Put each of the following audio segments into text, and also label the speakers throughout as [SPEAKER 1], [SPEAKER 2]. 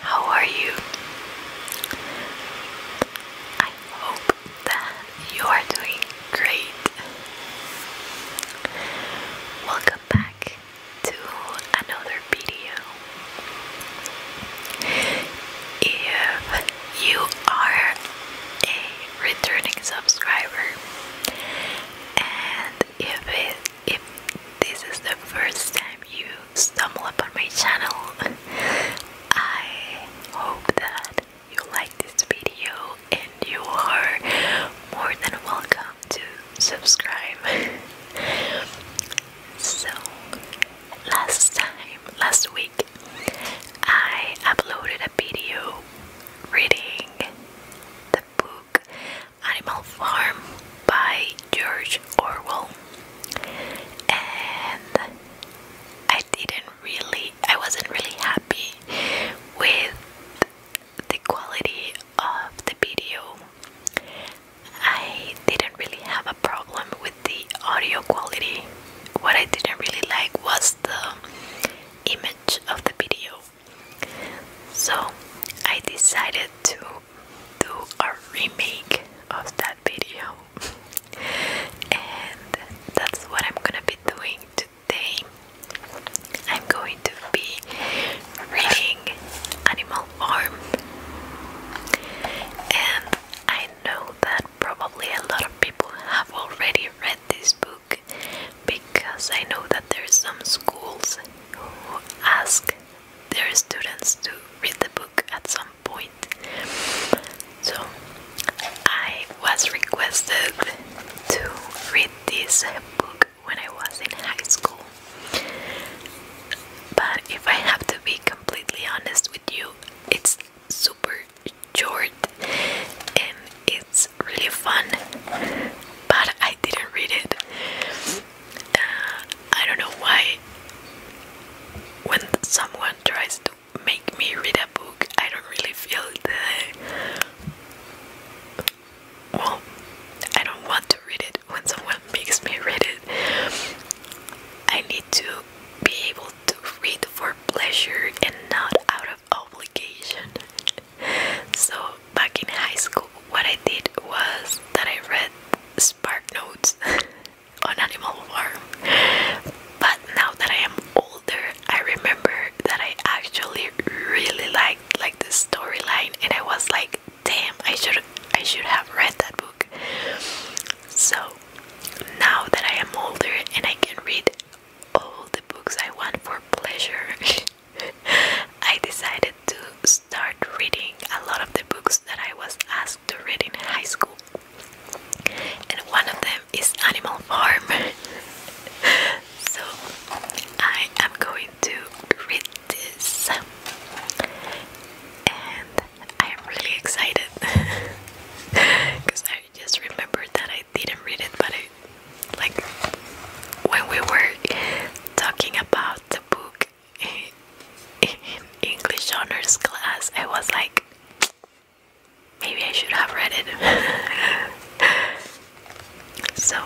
[SPEAKER 1] How are you? I hope that you are doing great. Welcome back to another video. If you are a returning subscriber and if if this is the first time you stumble upon my channel. I hope that you like this video and you are more than welcome to subscribe. so, last time, last week, I uploaded a video reading the book Animal Farm by George Orwell, and I didn't really, I wasn't really happy with the quality of the video. I didn't really have a problem with the audio quality. What I didn't really like was the image of the video. So I decided to do a remake of that video, and that's what I'm gonna be doing today. I'm going to be reading Animal Farm, and I know that probably a lot of people have already read this book because I know that there some schools who ask their students to read the book at some point. So I was requested to read this book when I was in high school. But if I have to be completely honest with you, it's super short and it's really fun, but I didn't read it. I don't know why. When someone tries to make me read a book, I don't really feel the. Well, I don't want to read it when someone makes me read it. I need to be able to read for pleasure and not out of obligation. So, back in high school, what I did was that I read Spark Notes on Animal Farm. But now that I am older, I remember that I actually really liked like the storyline, and I was like, "Damn, I should I should have read that book." So now that I am older and I can read all the books I want for pleasure, I decided to start reading a lot of the books that I was asked to read in high school. And one of them is Animal Farm. so I am going to read this. And I am really excited because I just remembered that I didn't read it, but I, like when we were talking about the book in English honors class, I was like, maybe I should have read it. so.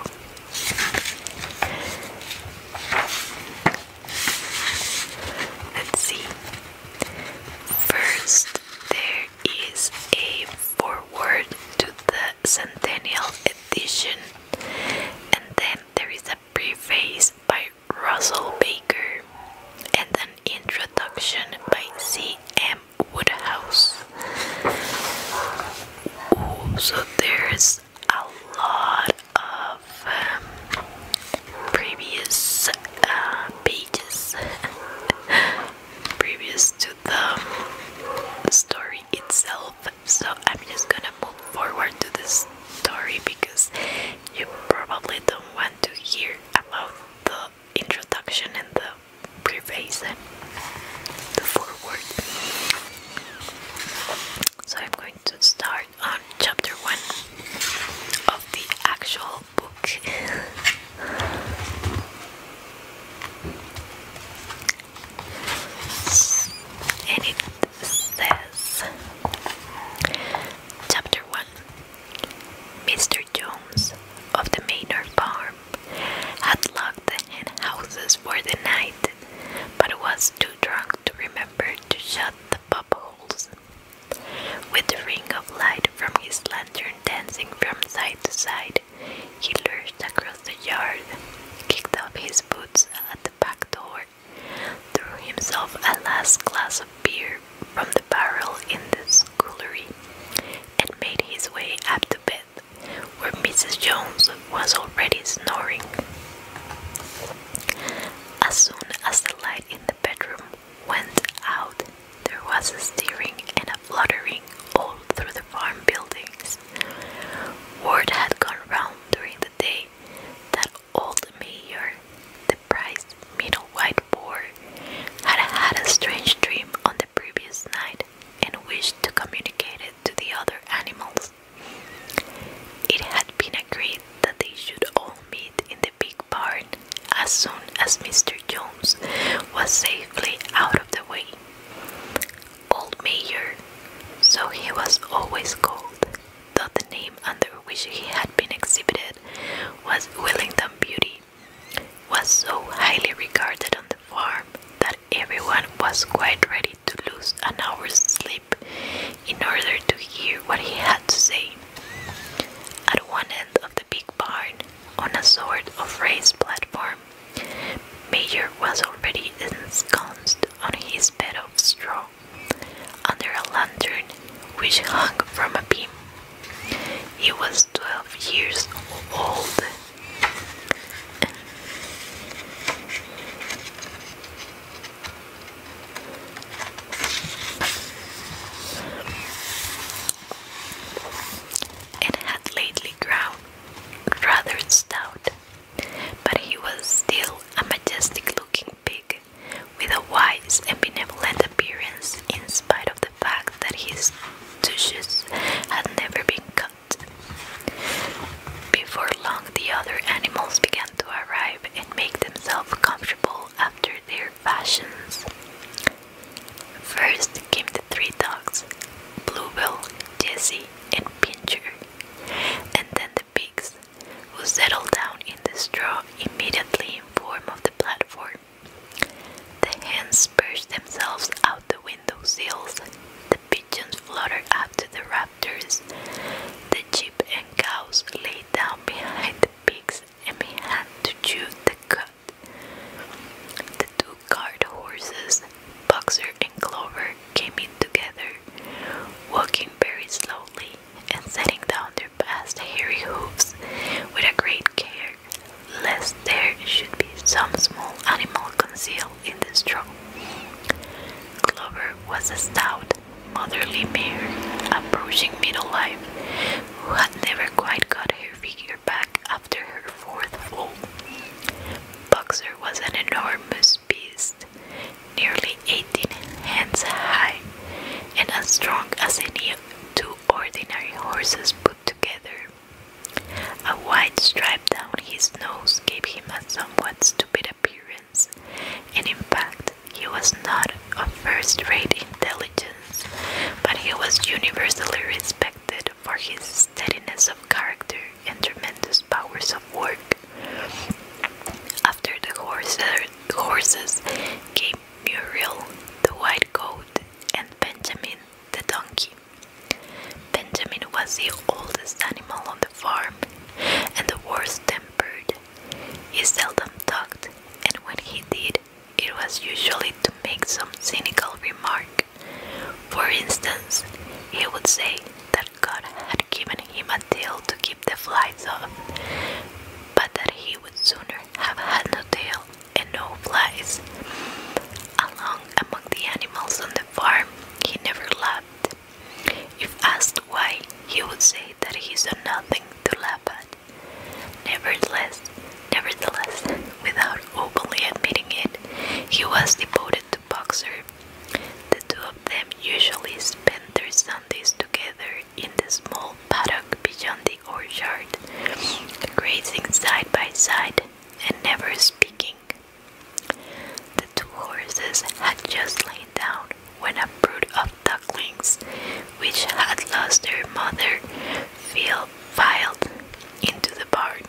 [SPEAKER 1] Let's see. First, there is a forward to the Centennial Edition, and then there is a preface by Russell Baker and an introduction by C. M. Woodhouse. so there's a lot of um, previous uh, pages previous to the story itself, so I'm just gonna move forward to this story because you probably don't want to hear about the introduction and the preface and the foreword. So I'm going to start on chapter one of the actual book. it says Chapter 1 Mr. Jones of the Manor Farm had locked the hen houses for the night, but was too drunk to remember to shut the pop holes. With the ring of light from his lantern dancing from side to side, he lurched across the yard, kicked off his boots at the back door, threw himself a last glass of beer from the barrel in the scullery, and made his way up to bed, where Mrs. Jones was already snoring. As soon as the light in the bedroom went out, there was a stirring and a fluttering all through the farm buildings. Word had gone round during the day that old mayor, the prize middle white boy, had had a strange dream on the previous night and wished to communicate it to the other animals. It had been agreed that they should all meet in the big barn as soon as Mr. Jones was safely out of the way. Old Mayor, so he was always called, though the name under which he had been exhibited was Willington Beauty, was so highly regarded on the farm that everyone was quite ready to lose an hour's sleep in order to hear what he had to say. At one end of the big barn, on a sort of raised platform, Major was already ensconced on his bed of straw, under a lantern which hung from a beam. He was twelve years old. and had lately grown rather stout but he was still a majestic looking pig, with a wise and benevolent appearance in spite of the fact that his tushes had never been cut. Before long, the other animals began to arrive and make themselves comfortable after their fashions. First came the three dogs Bluebell, Jessie, and Pincher. And then the pigs, who settle down in the straw immediately in form of the platform. The hens perched themselves out the window sills, the pigeons flutter up to the raptors, the sheep and cows lay down behind the pigs and began to chew the cud guard horses, Boxer and Clover came in together, walking very slowly and setting down their past hairy hooves with a great care, lest there should be some small animal concealed in the straw. Clover was a stout, motherly mare, approaching middle life, who had never quite got her figure back after her Boxer was an enormous beast, nearly 18 hands high, and as strong as any two ordinary horses put together. A white stripe down his nose gave him a somewhat stupid appearance, and in fact, he was not of first rate intelligence, but he was universally respected for his steadiness of character and tremendous powers of work. After the horses came Muriel, the white goat, and Benjamin, the donkey. Benjamin was the oldest animal on the farm and the worst tempered. He seldom talked, and when he did, it was usually to make some cynical remark. For instance, he would say that God had given him a tail to keep the flies off, but that he would sooner have had no tail and no flies. Along among the animals on the farm, he never laughed. If asked why, he would say that he saw nothing to laugh at. Nevertheless, nevertheless, without openly admitting it, he was devoted Boxer. The two of them usually spend their Sundays together in the small paddock beyond the orchard, grazing side by side and never speaking. The two horses had just lain down when a brood of ducklings, which had lost their mother, filed into the barn.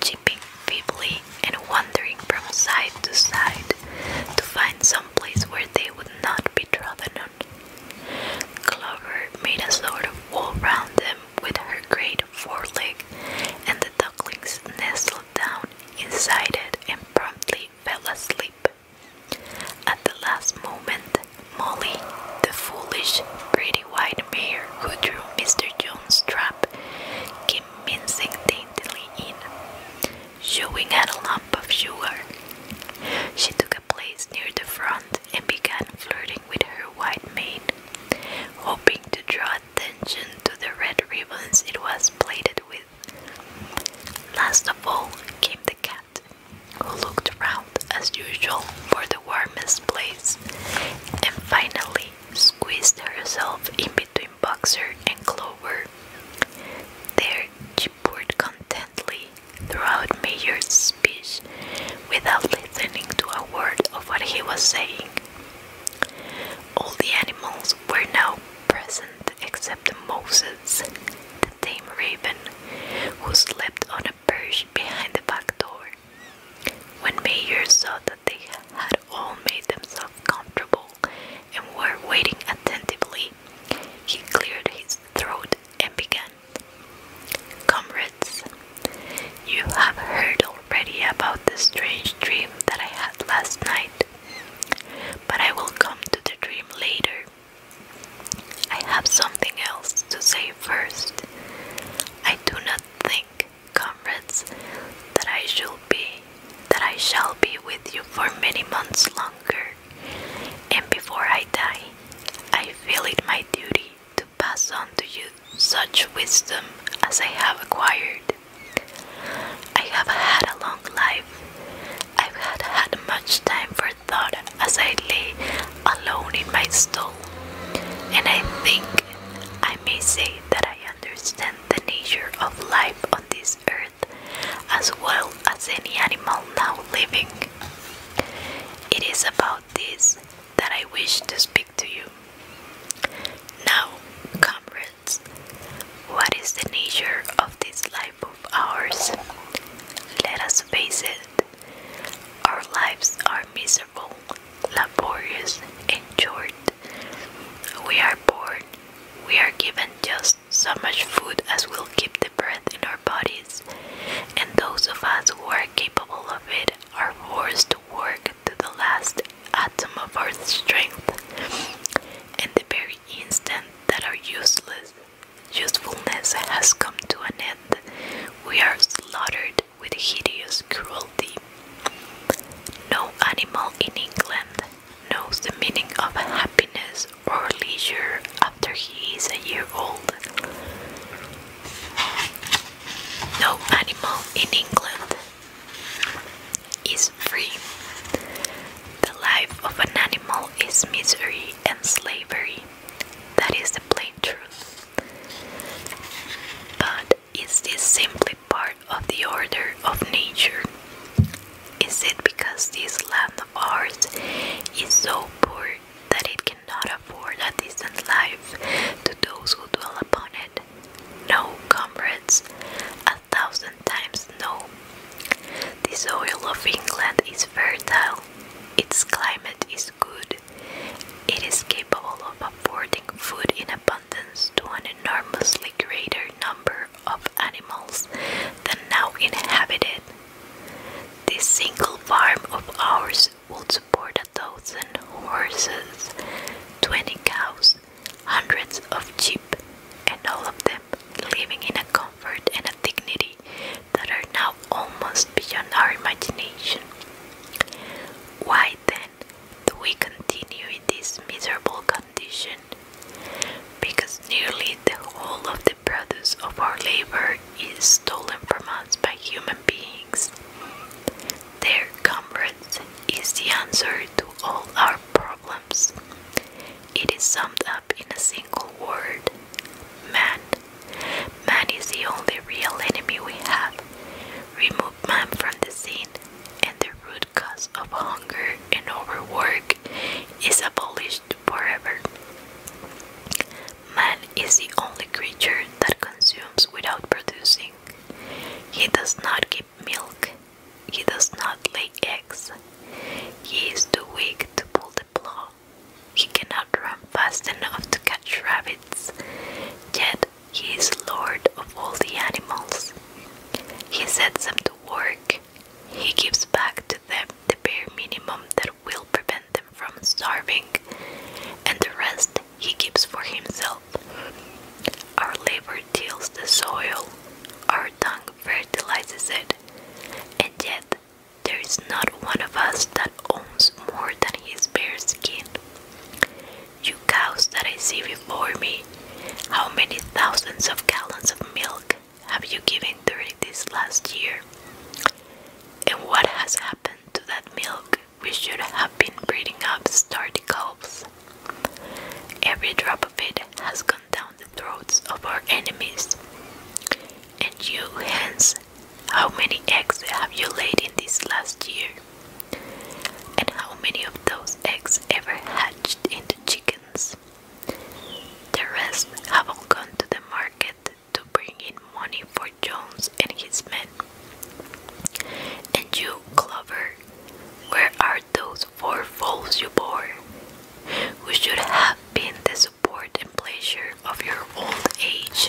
[SPEAKER 1] Jipping feebly and wandering from side to side to find some place where they would not be trodden on. Clover made a sort of wall round them with her great foreleg, and the ducklings nestled down inside it and promptly fell asleep. At the last moment, Molly, the foolish, pretty the white mare who drew Mr. Jones's trap came mincing daintily in, showing at a lump of sugar. She took a place near the front and began flirting with her white maid, hoping to draw attention to the red ribbons it was plaited with. Last of all came the cat, who looked round as usual for the warmest place, and finally squeezed herself in between Boxer and Clover. There she poured contently throughout Mayor's speech without listening to a word of what he was saying. All the animals were now present except Moses, the tame raven, who slept on a perch behind the back door. When Mayer saw that they had all made themselves comfortable and were waiting attentively, he cleared his throat and began. Comrades, you have heard already about the strange dream that I had last night, but I will come to the dream later. I have something else to say first. I do not think, comrades, that I shall be that I shall be with you for many months longer, and before I die, I feel it my duty to pass on to you such wisdom as I have acquired. I have had a long life. I've had much time for thought as I lay alone in my stall, and I think I may say that I understand the nature of life on this earth as well as any animal now living. It is about this that I wish to speak to you. Now, comrades, what is the nature of this life of ours? Let us face it. Our lives are miserable laborious, and short. We are born, we are given just so much food as will keep the breath in our bodies, and those of us who are capable of it are forced to work to the last atom of our strength. And the very instant that our useless usefulness has come to an end, we are slaughtered with hideous cruelty. No animal in England knows the meaning of happiness or leisure after he is a year old. No animal in England is free. The life of an animal is misery and slavery. That is the plain truth. But is this simply part of the order of nature? Is it because this land of ours is so poor that it cannot afford a decent life to those who dwell upon it? No, comrades, a thousand times no. The soil of England is fertile, its climate is good. It is capable of affording food in abundance to an enormously greater number of animals than now inhabit This single farm of ours will support a thousand horses, twenty cows, hundreds of sheep, and all of them living in a comfort and a dignity that are now almost beyond our imagination. Why then do we continue in this miserable condition? Because nearly the whole of the produce of our labor is stolen from us by human beings. Their comrades is the answer to all our problems. It is summed up in a single word man. Man is the only real enemy we have. Remove man from the scene, and the root cause of hunger and overwork is abolished forever. Man is the only creature that consumes without producing. He does not give milk, he does not lay eggs. He is too weak to pull the plug he cannot run fast enough to catch rabbits, yet he is lord of all the animals. He sets them to work. He gives back to them the bare minimum that will prevent them from starving, and the rest he keeps for himself. Our labor tills the soil, our tongue fertilizes it, and yet there is not one of us that owns more than his bare skin. You cows that I see before me, how many thousands of gallons of milk have you given during this last year? And what has happened to that milk we should have been breeding up sturdy calves? Every drop of it has gone down the throats of our enemies, and you hens. How many eggs have you laid in this last year? And how many of those eggs ever hatched into chickens? The rest have all gone to the market to bring in money for Jones and his men. And you, Clover, where are those four foals you bore? Who should have been the support and pleasure of your old age.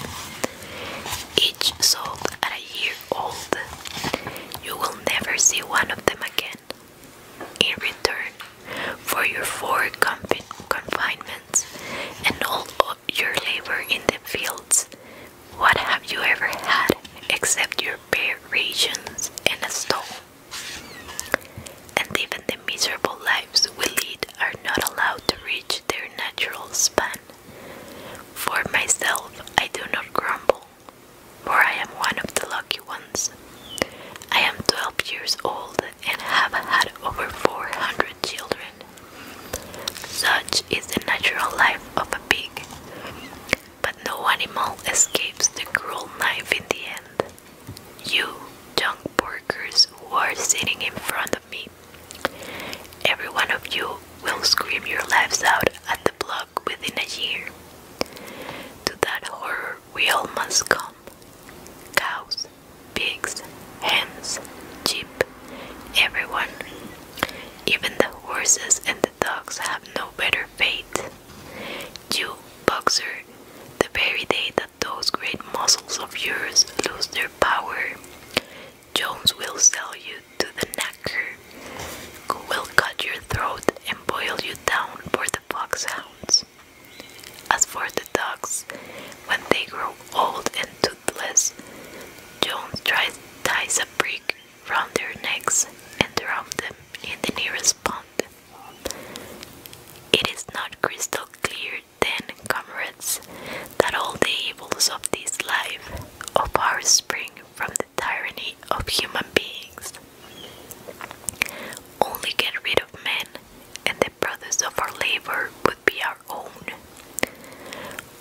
[SPEAKER 1] Each sold at a year old. You will never see one of them again. In return for your four confinements and all your labor in the fields, what have you ever had except your bare rations and a stone? and even the miserable lives we lead are not allowed to reach their natural span. For myself, I do not grumble, for I am one of the lucky ones. I am 12 years old and have had over 400 children. Such is the natural life of a pig, but no animal escapes the cruel knife in the end. You, young poor who are sitting in front of me. Every one of you will scream your lives out at the block within a year. To that horror we all must come. Cows, pigs, hens, sheep, everyone. Even the horses and the dogs have no better fate. You, boxer, the very day those great muscles of yours lose their power. Jones will sell you to the knacker, who will cut your throat and boil you down for the foxhounds. As for the dogs, when they grow old and toothless, Jones tries, ties a brick round their necks and drown them in the nearest pond. It is not crystal clear then, comrades, that all the evils of this life, of our spring from the tyranny of human beings. Only get rid of men, and the brothers of our labor would be our own.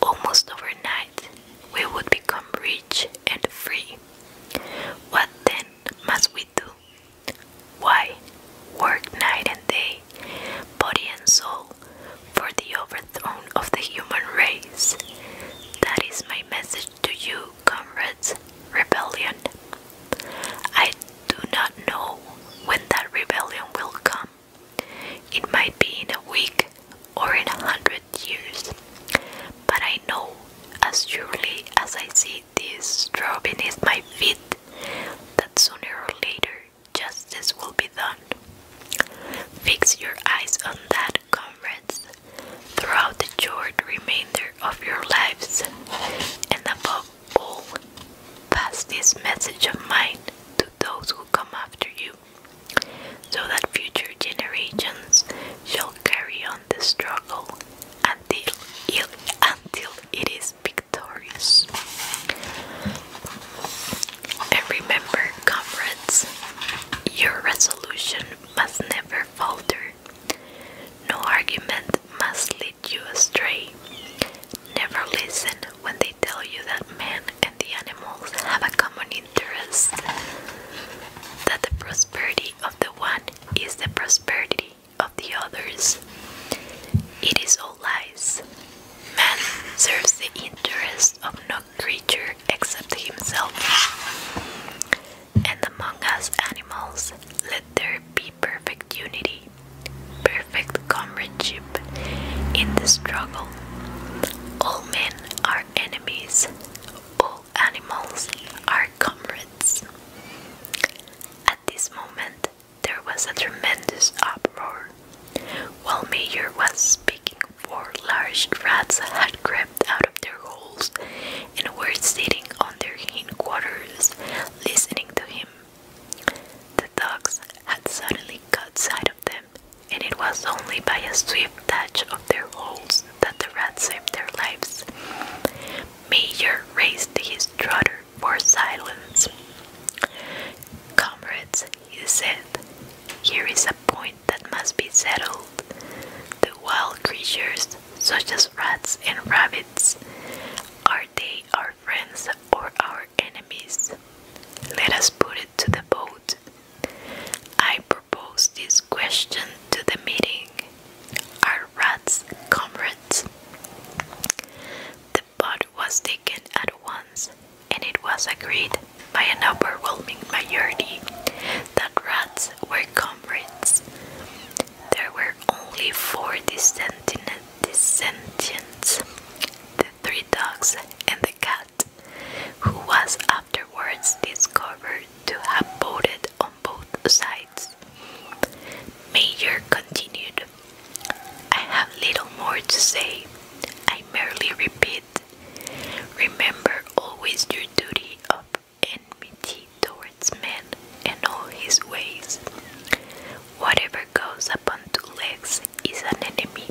[SPEAKER 1] Almost overnight, we would become rich and free. What then must we? Why? Work night and day, body and soul, for the overthrow of the human race. That is my message to you, comrades. Rebellion. I do not know when that rebellion will come. It might be in a week or in a hundred years. But I know, as surely as I see this straw beneath my feet that sooner or later justice will be done. Fix your eyes on that, comrades, throughout the short remainder of your lives, and above all, pass this message of mine to those who come after you, so that future generations shall carry on the struggle until until it is and remember, comrades, your resolution must never falter. No argument must lead you astray. Never listen when they tell you that man and the animals have a common interest, that the prosperity of the one is the prosperity of the others. It is all lies. Man serves the interest of no creature except himself. And among us animals, let there be perfect unity, perfect comradeship in the struggle. All men are enemies, all animals are comrades. At this moment, there was a tremendous uproar. While Mayor was speaking, four large rats had crept out of their holes and were sitting on their headquarters, listening to him. The dogs had suddenly caught sight of them, and it was only by a swift touch of their holes that the rats saved their lives. Mayor raised his trotter for silence. Comrades, he said, here is a point that must be settled. The wild creatures, such as rats and rabbits, are they our friends or our enemies? Let us put it to the vote. I propose this question to the meeting. Are rats comrades. The pot was taken at once, and it was agreed by an overwhelming majority that rats were comrades. There were only four dissentients the three dogs and the cat, who was afterwards discovered to have voted both sides. Major continued, I have little more to say. I merely repeat remember always your duty of enmity towards man and all his ways. Whatever goes upon two legs is an enemy.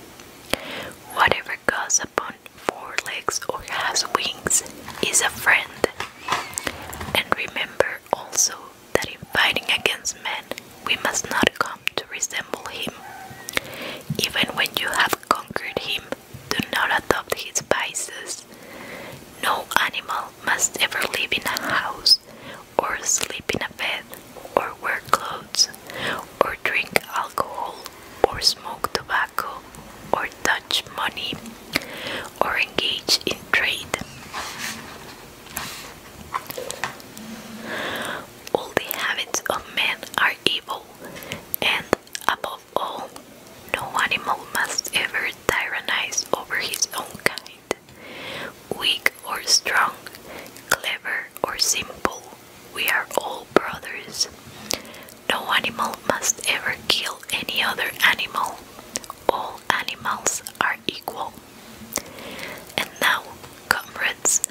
[SPEAKER 1] Whatever goes upon four legs or has wings is a friend. And remember also that in fighting against men we must not come to resemble him. Even when you have conquered him, do not adopt his vices. No animal must ever live in a house, or sleep in a bed, or wear clothes, or drink alcohol, or smoke tobacco, or touch money, or engage in trade. All the habits of men are evil, and above all, no animal must ever tyrannize over his own kind. Weak or strong, clever or simple, we are all brothers. No animal must ever kill any other animal. All animals are equal. And now, comrades,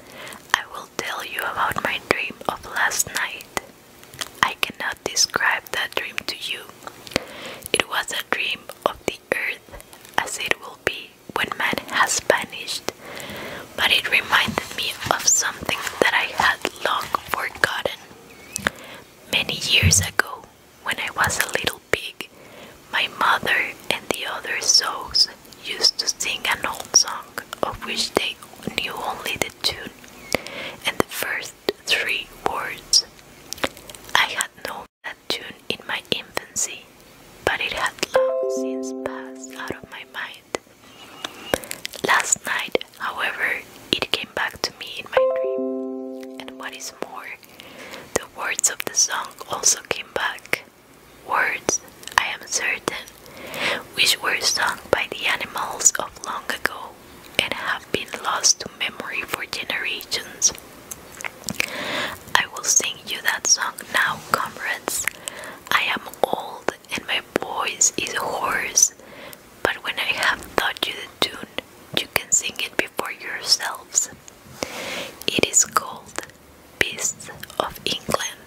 [SPEAKER 1] I will tell you about my dream of last night. I cannot describe that dream to you. It was a dream of the earth as it will be when man has vanished, but it reminded me of something that I had long forgotten. Many years ago, when I was a little pig, my mother and the other souls used to sing an old song of which they knew only the tune and the first three words. I had known that tune in my infancy, but it had long since passed out of my mind. Last night, however, it came back to me in my dream. And what is more, the words of the song also came back. Words, I am certain, which were sung by the animals of long ago and have been lost to memory for generations. I will sing you that song now, comrades. I am old and my voice is hoarse, but when I have taught you the tune, you can sing it before yourselves. It is called Beasts of England.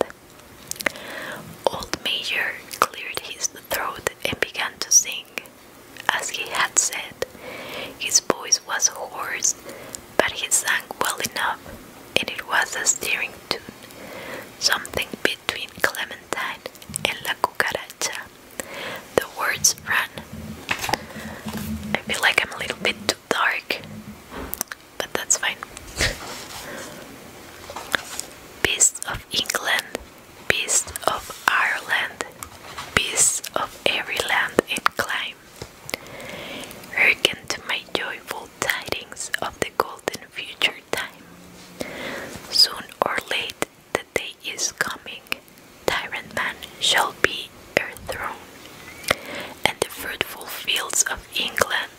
[SPEAKER 1] Old Major cleared his throat and began to sing. As he had said, his voice was hoarse, but he sang well enough, and it was a stirring tune, something between Clementine and La Cucaracha. The words run. I feel like I'm a little bit too dark, but that's fine. Beasts of England, beasts of Ireland, beasts of every land and Hearken to my joyful tidings of the golden future time. Soon or late, the that day is coming, tyrant man shall be overthrown, and the fruitful fields of England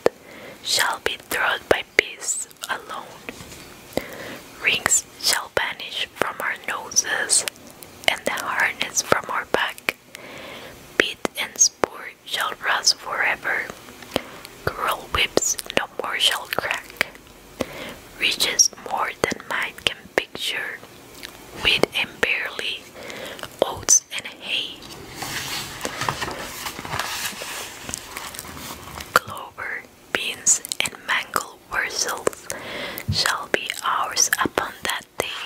[SPEAKER 1] shall be trod by peace alone. Rings shall vanish from our noses, and the harness from our back. Bit and spur shall rust forever. Cruel whips no more shall crack reaches more than mind can picture, wheat and barley, oats and hay. Clover, beans, and mangel wurzels shall be ours upon that day.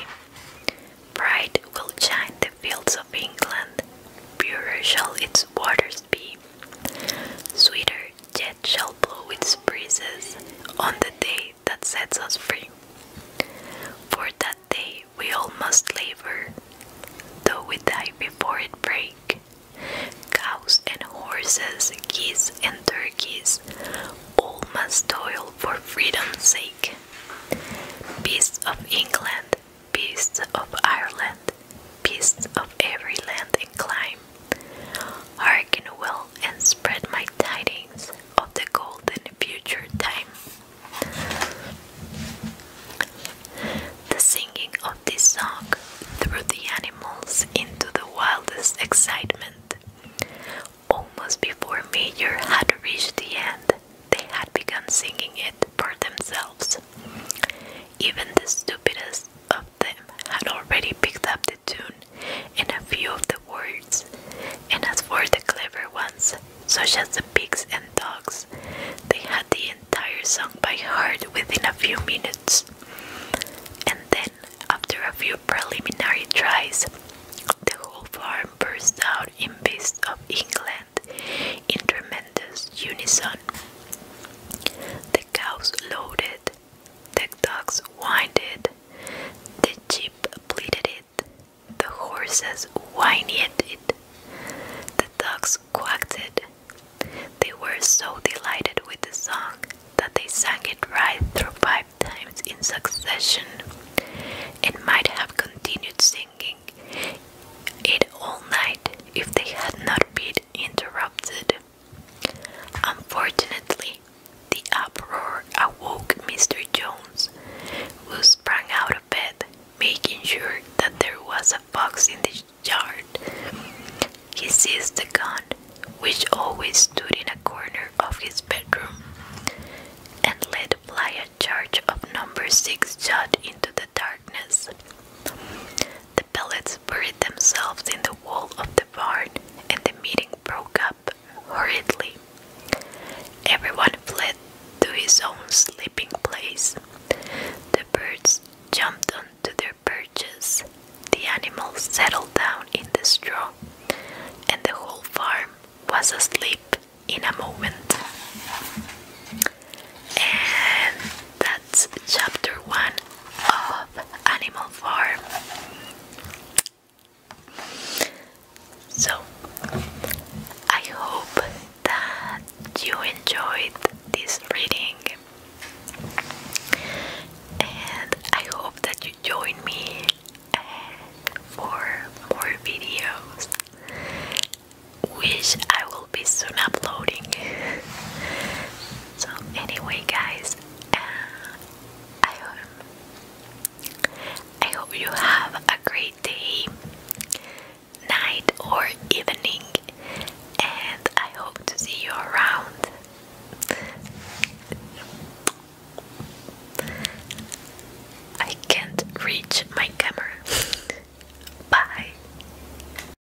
[SPEAKER 1] Bright will shine the fields of England, pure shall its waters be. Sweeter yet shall blow its breezes on the day that sets us free. For that day we all must labor, though we die before it break. Cows and horses, geese and turkeys, all must toil for freedom's sake. Beasts of England, beasts of Ireland, beasts of every land and clime. Hearken well and spread my tidings of the golden future time. The singing of this song threw the animals into the wildest excitement. Almost before Major had reached the end, they had begun singing it for themselves. Even the stupidest of them had already picked up the tune and a few of the words, and as for the clever ones, such as the pigs and dogs, they had the entire song by heart within a few minutes. And then, after a few preliminary tries, the whole farm burst out in beasts of England in tremendous unison. The cows loaded, the dogs whined it, the sheep bleated it, the horses whined it, the dogs quacked it. They were so delighted with the song that they sang it right through five times in succession It might have continued singing it all night if they had not been interrupted. Unfortunately, the uproar awoke Mr. Jones, who sprang out of bed, making sure that there was a fox in the yard. He seized the gun, which always stood in a corner of his bedroom, and let fly a charge of number six shot into the darkness. The pellets buried themselves in the wall of the barn, and the meeting broke up hurriedly. Everyone fled to his own sleeping place. The birds jumped onto their perches, the animals settled down in the straw, and the whole farm was asleep in a moment. That's chapter one of Animal Farm. So, I hope that you enjoyed this reading, and I hope that you join me uh, for more videos, which I will be soon uploading. So anyway guys, uh, I hope I hope you have a great day, night or evening and I hope to see you around. I can't reach my camera. Bye.